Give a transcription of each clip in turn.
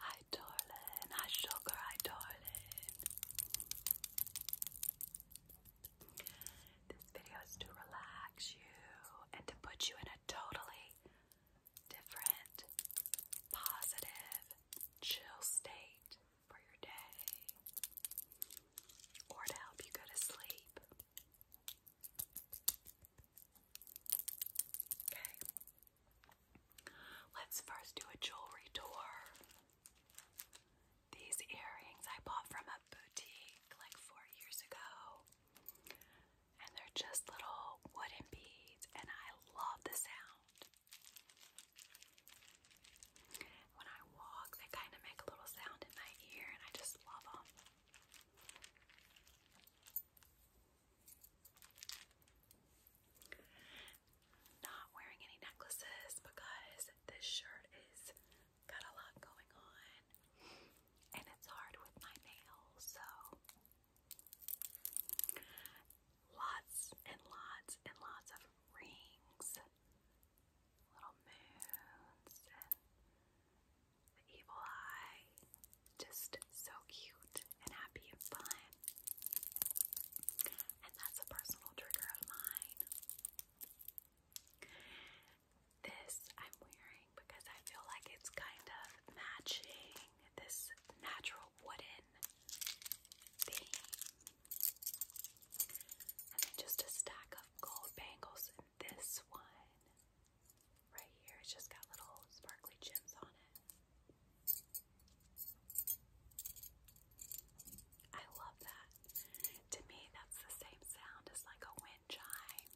Hi, darling. Hi, sugar. Hi, darling. This video is to relax you and to put you in a totally different, positive, chill state for your day or to help you go to sleep. Okay. Let's first do a jewelry tour. These earrings I bought from a boutique like four years ago. And they're just little wooden beads, and I love the sound. When I walk, they kind of make a little sound in my ear, and I just love them. Not wearing any necklaces because this shirt is got a lot going on and it's hard with my nails, so lots and lots and lots of rings, little moons, the evil eye. Just so cute and happy and fun. And that's a personal trigger of mine. This I'm wearing because I feel like it's kind of matching this natural wooden theme. And then just a stack of gold bangles in this one. Right here, it's just got little sparkly gems on it. I love that. To me, that's the same sound as like a wind chime.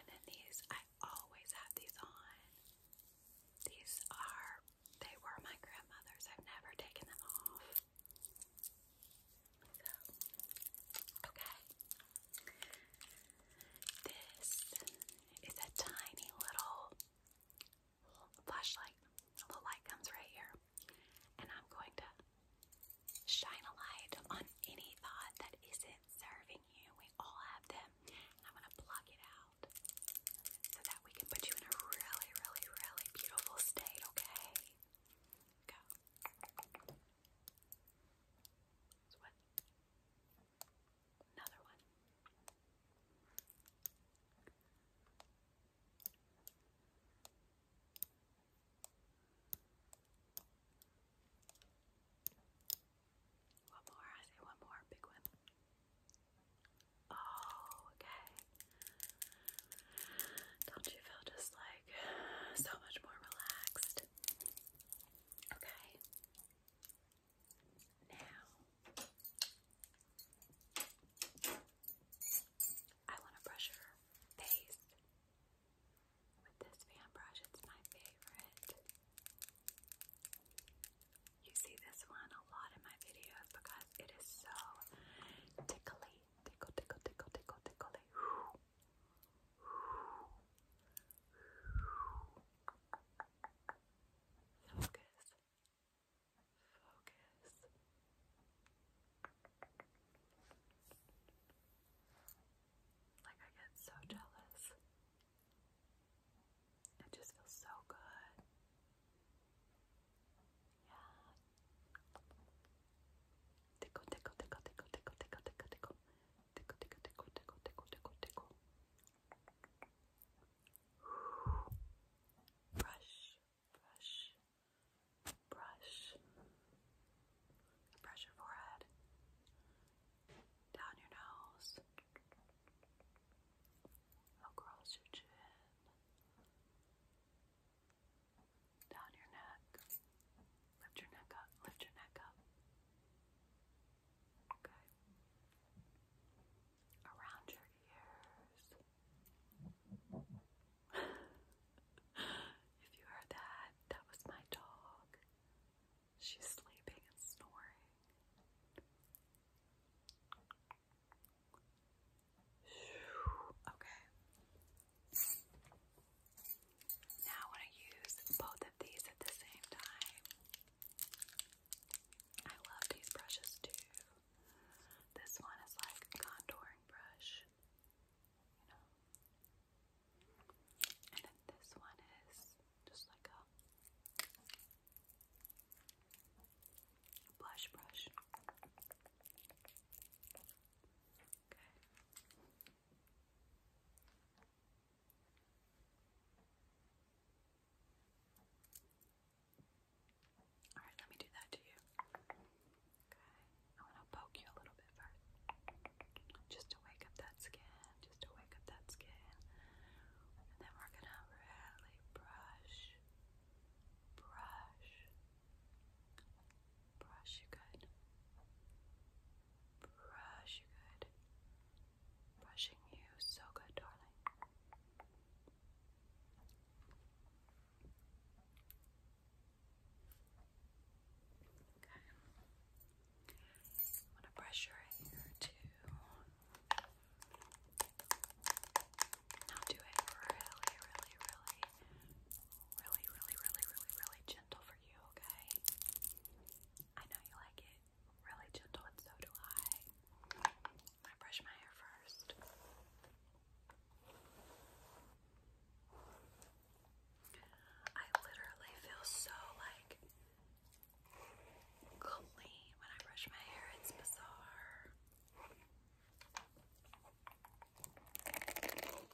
And then these, I always have these on. These are, they were my grandmother's. I've never taken them off. So, okay. This is a tiny little flashlight. The light comes right here. And I'm going to shine a light on any thought that isn't serving you. We all have them. I'm going to plug it out so that we can put you in a really, really, really beautiful state, okay? Go. It's Another one. One more, I say one more, big one. Oh, okay. Don't you feel just like like so much more relaxed. Okay. Now I want to brush her face with this fan brush. It's my favorite. You see this one a lot in my videos because it is so tickly, tickle, tickle, tickle, tickle, tickly. Focus. Focus. Like I get so jealous. It just feels so good. Yeah, tickle, tickle, tickle, tickle, tickle, tickle, tickle, tickle, tickle, tickle, tickle, tickle, tickle, tickle, tickle. Brush, brush, brush. Brush your forehead, down your nose, across your chin down your neck. Lift your neck up. Lift your neck up. Okay. Around your ears. if you heard that, that was my dog. She's sleeping and snoring. Okay. Now I use both of these at the same time. I love these brushes too. This one is like a contouring brush, you know. And then this one is just like a blush brush. Good. All right, let me do that to you. Okay, I want to poke you a little bit first, just to wake up that skin, just to wake up that skin, and then we're gonna really brush, brush, Brush you good. Brush you good. Brushing you so good, darling. Okay. I'm gonna brush your hair too. Now do it really, really, really, really, really, really, really, really gentle for you, okay? I know you like it really gentle, and so do I. i brush my hair first. I literally feel so like clean when I brush my hair, it's bizarre.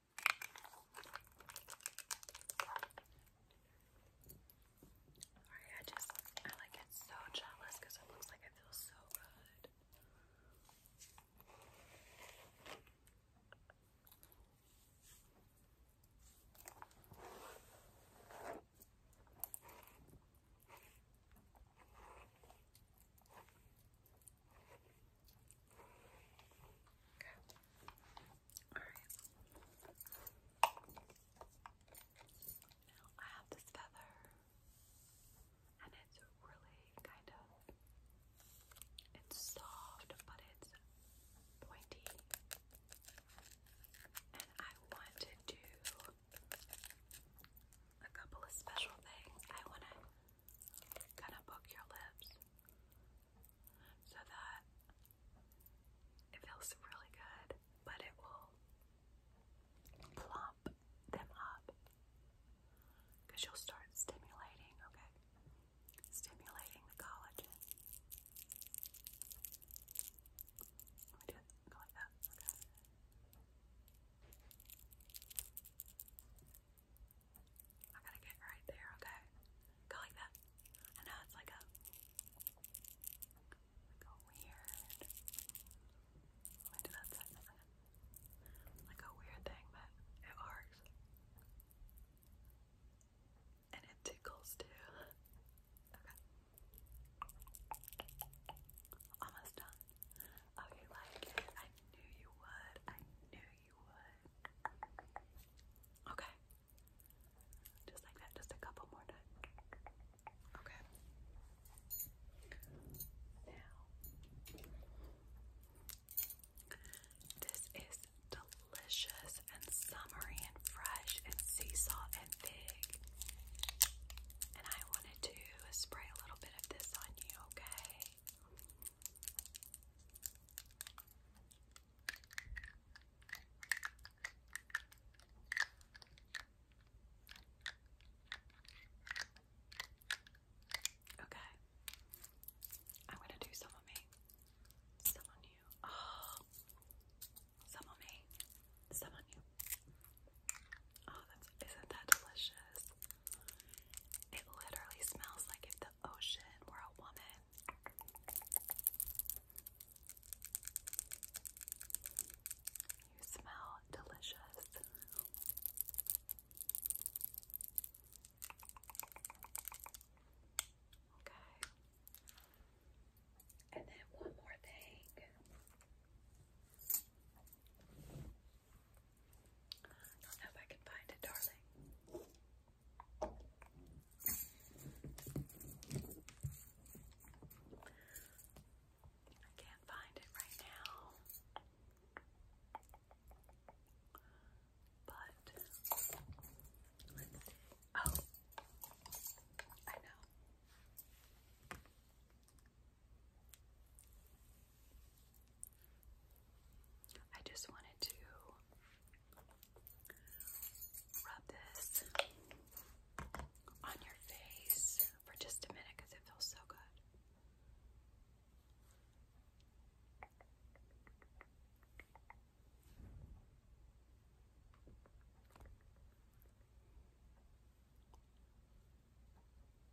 Sorry, I just, I like get so jealous because it looks like it feels so good. Okay. Alright. I have this feather and it's really kind of it's soft but it's pointy. And I want to do a couple of special things. I want to Gonna book your lips so that it feels really good, but it will plump them up because you'll start stimulating, okay? Stimulating the collagen. Let me do it. Go like that. Okay. I gotta get right there, okay? Go like that. I know it's like a like weird do that side Like a weird thing, but it works. And it tickles too. Okay. Almost done. Oh, you like it. I knew you would. I knew Okay. Just like that, just a couple more times. Okay. Now, this is delicious and summery and fresh and sea salt and fig. And I wanted to spray a little bit of this on you, okay? Okay. I'm gonna do some on me. Some on you. Oh some on me. Some on you. Oh, that's isn't that delicious? It literally smells like if ocean. We're a woman. You smell delicious. Okay. And then one more thing. I don't know if I can find it, darling. I can't find it right now. But let's see. Oh, I know. I just wanted to rub this on your face for just a minute because it feels so good.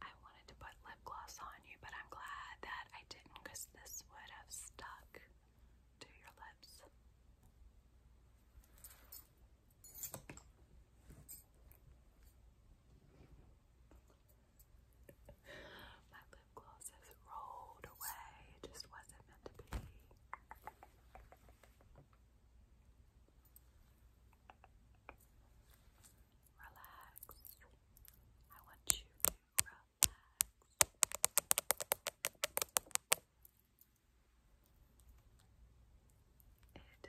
I wanted to put lip gloss on you, but I'm glad that I didn't because this would have stuck to your lips. My lip gloss has rolled away, it just wasn't meant to be. Relax. I want you it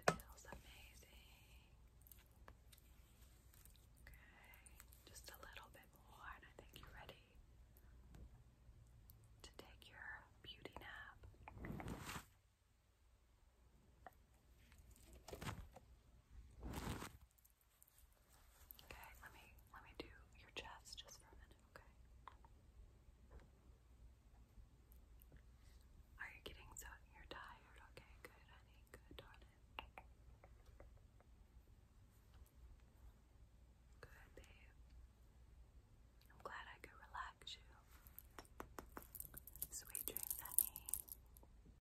feels amazing. Okay, just a little bit more, and I think you're ready to take your beauty nap. Okay, let me let me do your chest just for a minute, okay? Are you getting so you're tired? Okay, good, honey, good, darling. Good, babe. I'm glad I could relax you. Sweet dreams, honey.